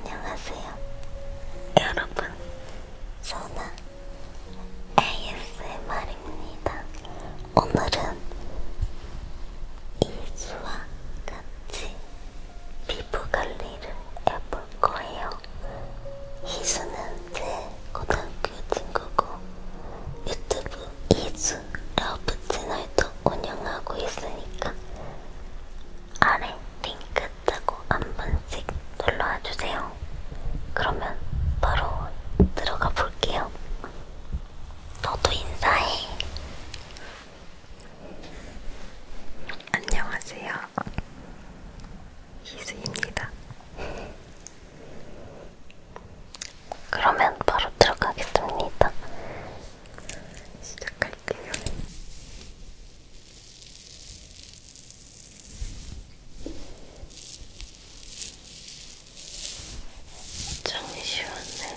안녕하세요. 여러분, 소나 ASMR입니다. 오늘은 이수와 같이 피부 관리를 해볼 거예요. 이수는 제 고등학교 친구고 유튜브 이수 러브 채널도 운영하고 있으니까 아래 링크 뜨고 한 번씩 눌러와 주세요. 그러면 바로 들어가 볼게요. 너도 인사해. 안녕하세요. 이수입니다. 그러면 바로 들어가겠습니다. 시작할게요. 정이 쉬웠네.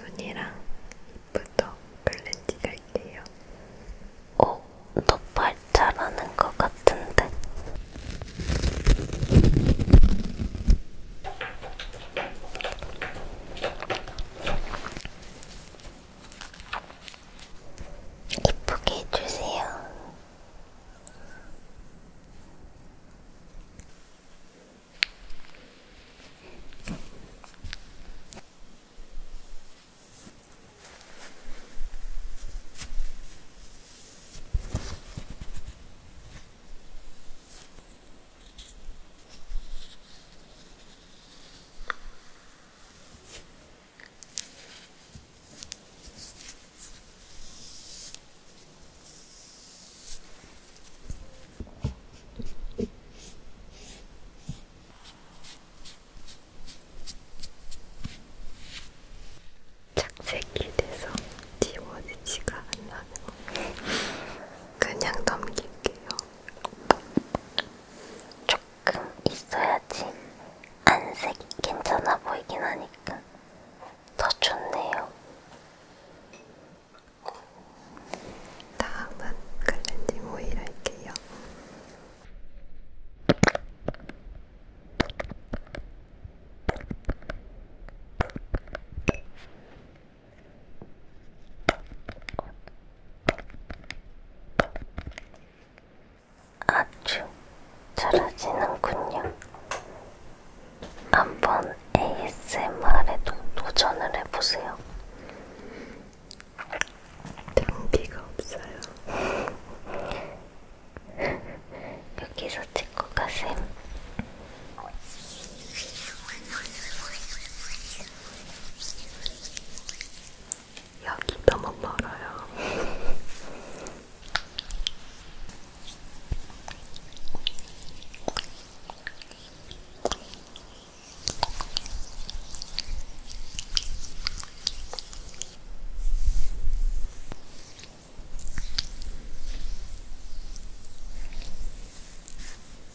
눈이랑 입부터 클렌징 할게요. 어, 너팔 잘하는 것 같은데? 이쁘게 해주세요. 착색이 돼서 지워지지가 않나요? 그냥 넘길게요. 조금 있어야지 안색이 괜찮아 보이긴 하니까 더 좋네요. 다음은 클렌징 오일 할게요. 아주 잘하시는군요. 한번 ASMR에도 도전을 해보세요. 등기가 없어요. 여기서 찍고 가세요. 여기 너무 멀어요.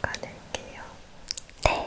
닦아낼게요. 네.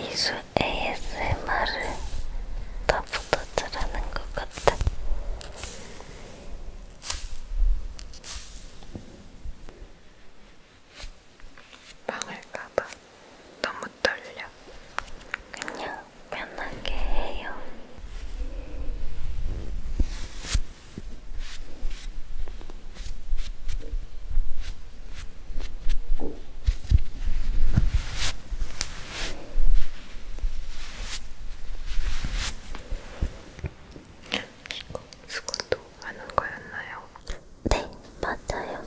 이수 ASMR을 나보다 잘하는 것 같아. 망할까봐 너무 떨려. 그냥 편하게 해요. 이거 스쿼트 하는 거였나요? 네, 맞아요.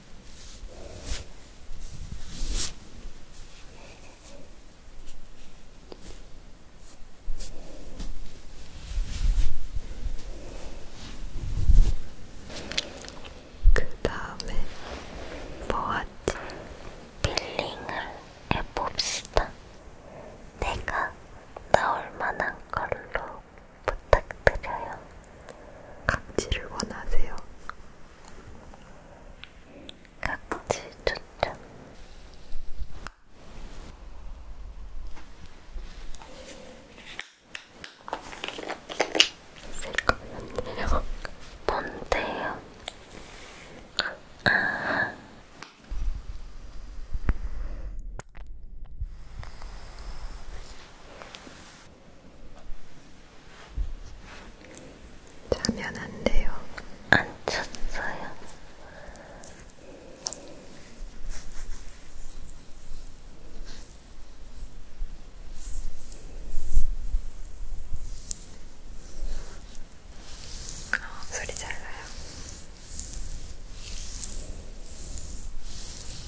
그 다음에 뭐하지? 빌링을 해봅시다. 내가 나올 만한 걸로 부탁드려요. 각질을 원하세요? 각질 초점 있을 것 같네요. 뭔데요? 아. 자면 안 돼요. 안 쳤어요. 어, 소리 잘 나요.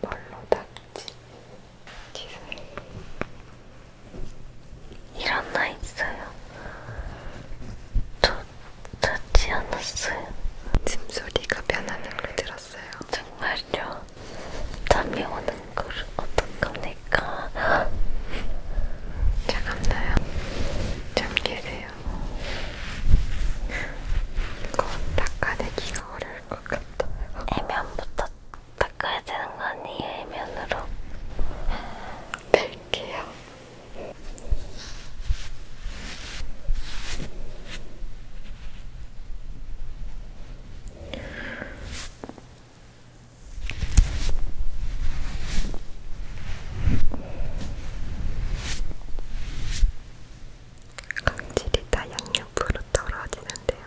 뭘로 닦지? 기사에 이런 나 있어요. 저 찾지 않았어요. 짐소리가 변하는 걸 들었어요. 정말요? 잠이 오는 걸 어떤 겁니까? 잠깐나요. 잠 깨세요. 이거 닦아내기가 어려울 것 같아요. 애면 붙었다. 닦아야 되는 거 아니에요? 면으로 뺄게요. 각질이 다 양옆으로 떨어지는데요.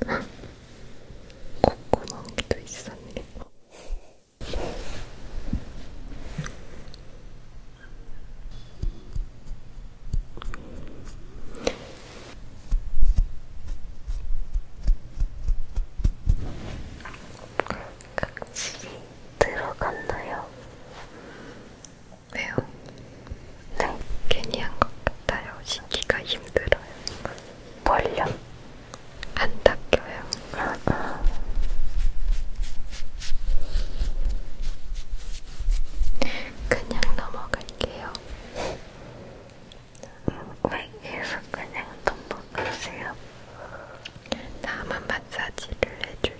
콧구멍도 있었네. 확실히 들어갔나요? 왜요? 네. 괜히 한 것 같아요. 신기가 힘들어요. 뭘요? 안 닦여요. 아, 아. 그냥 넘어갈게요. 음, 왜 계속 그냥 넘어가세요? 다음은 마사지를 해줄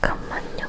잠깐만요.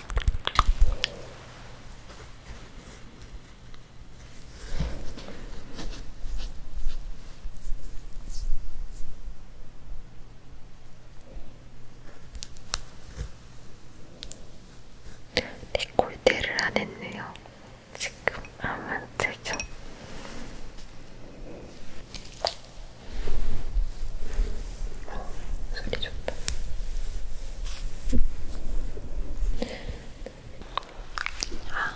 데콜테를 네, 안 했네요. 지금 아무 되죠? 어, 소리 좋다. 아.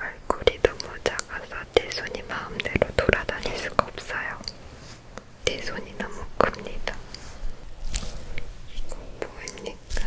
얼굴이 너무 작아서 제 손이 마음대로 돌아다닐 수가 없어요. 제 손이 너무 큽니다. 이거 보입니까?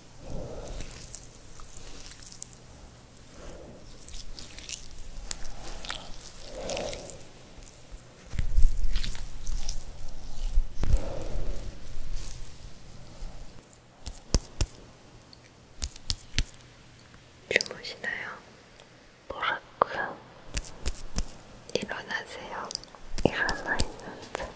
주무시나요? 뭐라고요? 일어나세요. 일어나 있는데.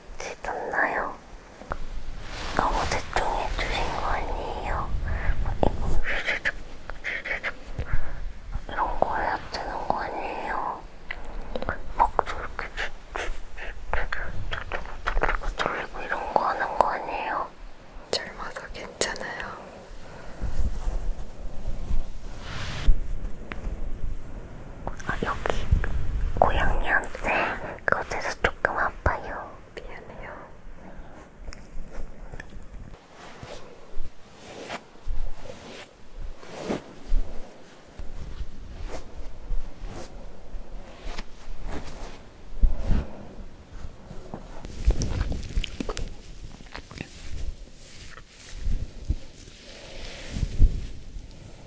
같이 떴나요? 너무 대충 해주신 거 아니에요? 이거 이런 거 해야 되는 거 아니에요? 막 저렇게 돌리고 이런 거 하는 거 아니에요? 젊어서 괜찮아요. 아, 여기 고양이한테 그곳에서 조금 아파요. 미안해요.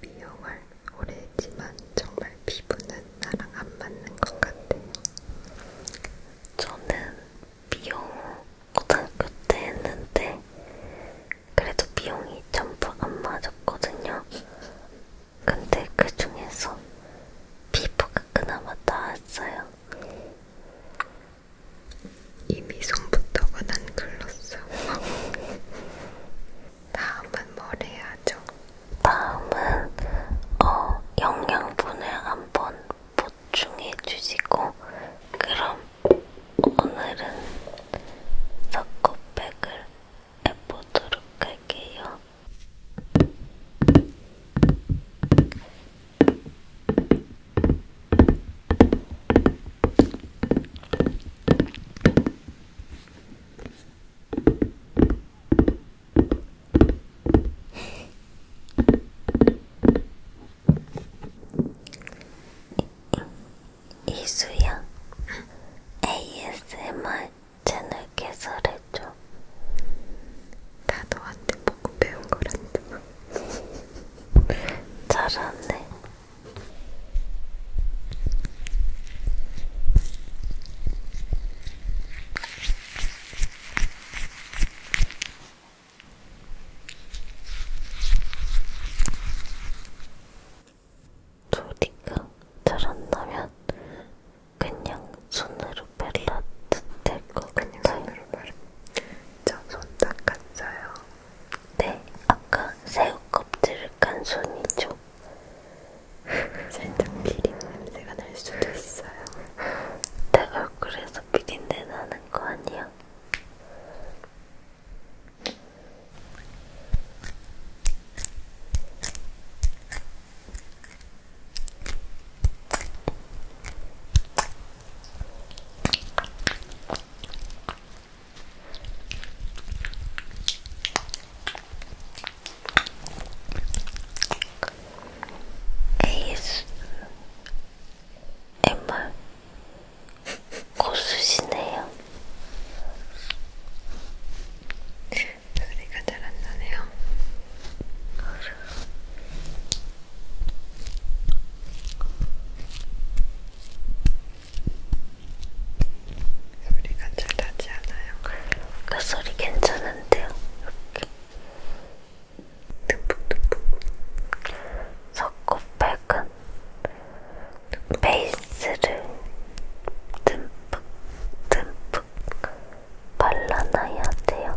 미용을 오래 했지만 정말 피부는 나랑 안 맞는 것 같아요. 저는 미용 고등학교 때 했는데 그래도 미용이 전부 안 맞았거든요. 근데 그 중에서 피부가 그나마 나았어요. 이미 손부터가 난 글렀어. 다음은 뭘 해야죠? 다음은 어, 영양분을 한번 보충해 주시고 그럼 오늘은 석고백을 해보도록 할게요. 이수연 ASMR 채널 개설해줘. 나도 한테 보고 배운 거란다. 잘하네. 소리가 잘안 나면 그냥 손으로 발라도 될것 같아요. 그냥 손으로 발라. 완전 손 닦았어요. 네, 아까 새우 껍질을 깐 손이죠. 살짝 비린 냄새가 날 수도 있어요. 내 얼굴에서 비린내 나는 거 아니야? 에이스 엠말 고수시네요. 소리가 잘안 나네요. 소리가 잘 나지 않아요? 그 소리 괜찮은데요? 이렇게 듬뿍듬뿍 석고백은 베이스를 듬뿍듬뿍 듬뿍 발라놔야 돼요.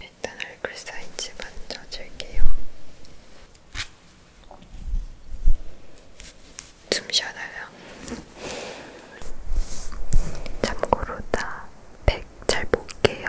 일단 얼굴 사이즈 먼저 줄게요. 숨 쉬어달라. 참고로 나백잘 볼게요.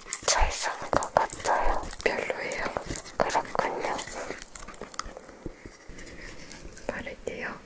잘 쓰는 것 같아요. 별로예요. 그렇군요. 바를게요.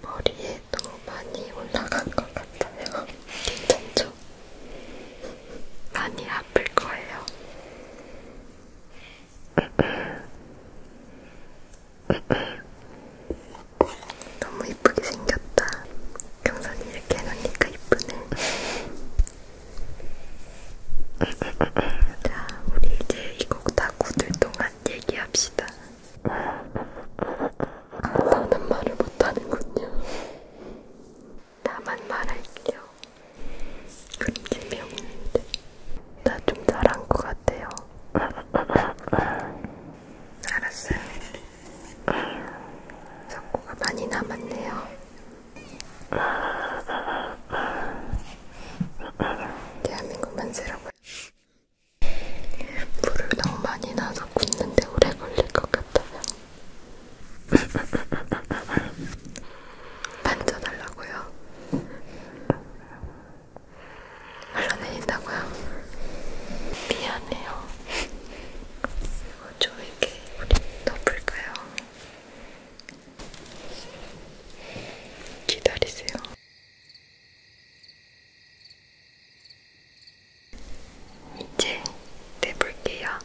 머리에도 많이 올라간 것 같아요. 괜찮죠? 많이 아플 거예요. 너무 이쁘게 생겼다. 경선이 이렇게 해놓으니까 이쁘네. 자, 우리 이제 이 곡다 굳을 동안 얘기합시다. 아, 나는 말을 못하는군요. 나만 말할게요. 그런 재미 없는데. 나 좀 잘한 것 같아요. 알았어요. 성고가 많이 남았네요. 대한민국 만세라고요. 물을 너무 많이 넣어서 굳는데 오래 걸릴 것 같아요. 만져달라고요? 흘러내린다고요? 미안해요. 이거 좀 이렇게 덮을까요? 기다리세요. 이제 내볼게요.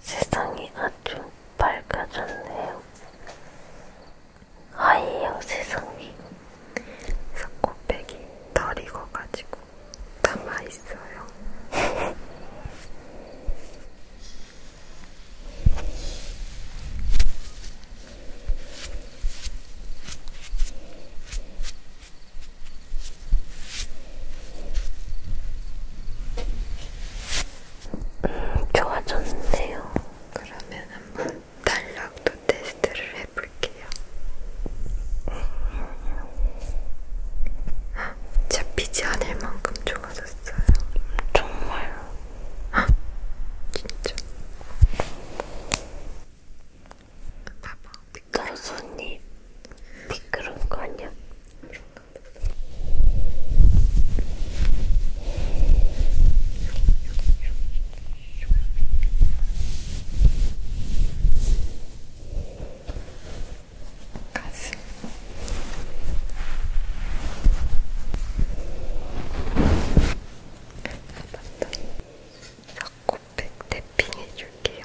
세상이 아주 밝아졌네요. 아이요 어, 세상에 코백이 덜 익어가지고 남아있어요 음, 좋아졌네요. 그러면 한번 달력도 테스트를 해볼게요. 아, 잡히지 않을 만큼 좋아졌어요. 정말요? 아, 진짜. 봐봐. 나 손이 미끄러운 거 아니야? 가슴 맞다 잡곡백 탭핑 해줄게요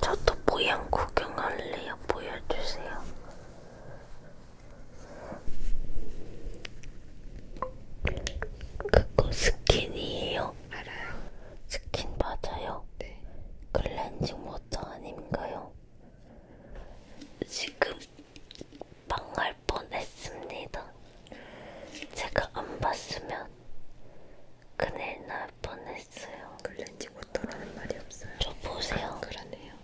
저도 모양 구경할래요. 보여주세요. 그거 스킨이에요? 알아요. 스킨 맞아요? 네. 클렌징 워터 아닌가요? 지금 망할 뻔했습니다. 제가 안 봤으면 큰일 날 뻔했어요. 클렌징 워터라는 말이 없어요. 저 보세요. 그러네요.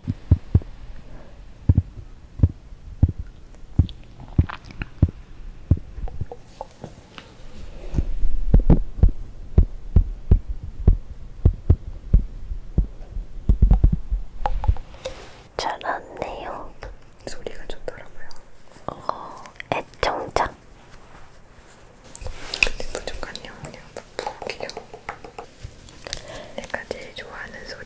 잘 왔네요. 소리가 좋더라고요. 어, 애청자. 근데 부족하네요. 그냥 부을게요. 내가 제일 좋아하는 소리.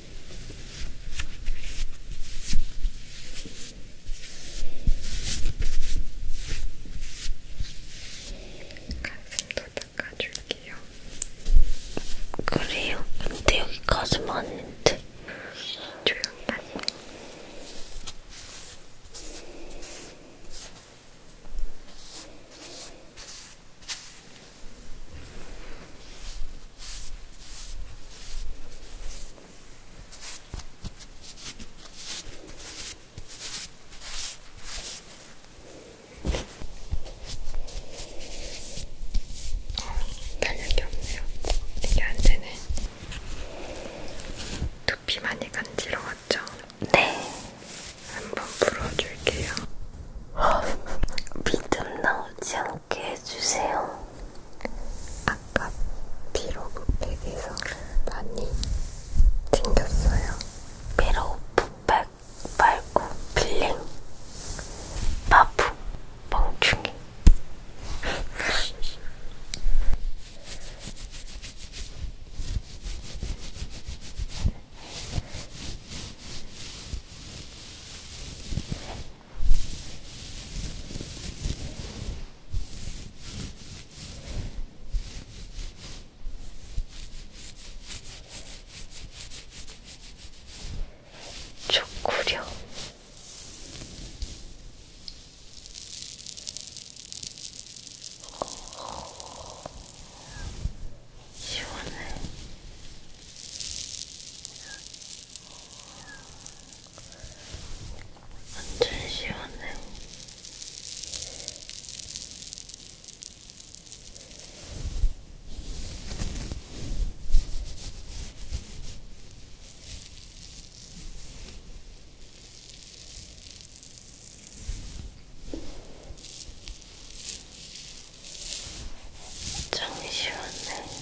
가슴도 닦아줄게요. 그래요? 근데 여기 가슴 아닌데. 조용히 하세요. 탄력이 없네요. 이게 안 되네. 두피 많이 간지러웠죠? 네. 한번 풀어줄게요. 믿음 나오지 않고 생각해 해주세요. 아까 피로브팩에서 많이 챙겼어요. 피로브팩 말고 필링, 바프, 멍충이. 초코려. 시원해. 완전 시원해. 정이 시원해.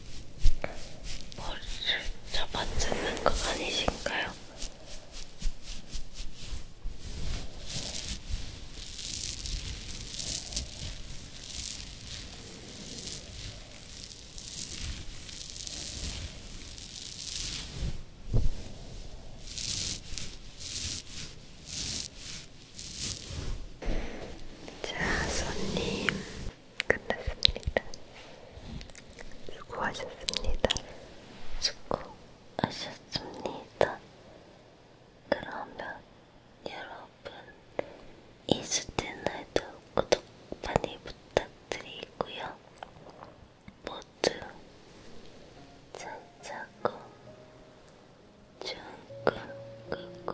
머리를 잡아뜯는 거 아니신가요? 자, 손님. 끝났습니다. 수고하셨습니다. 수고하셨습니다. 그러면 여러분 이스테날도 구독 많이 부탁드리고요. 모두 잘 자고 좋은 꿈 꾸고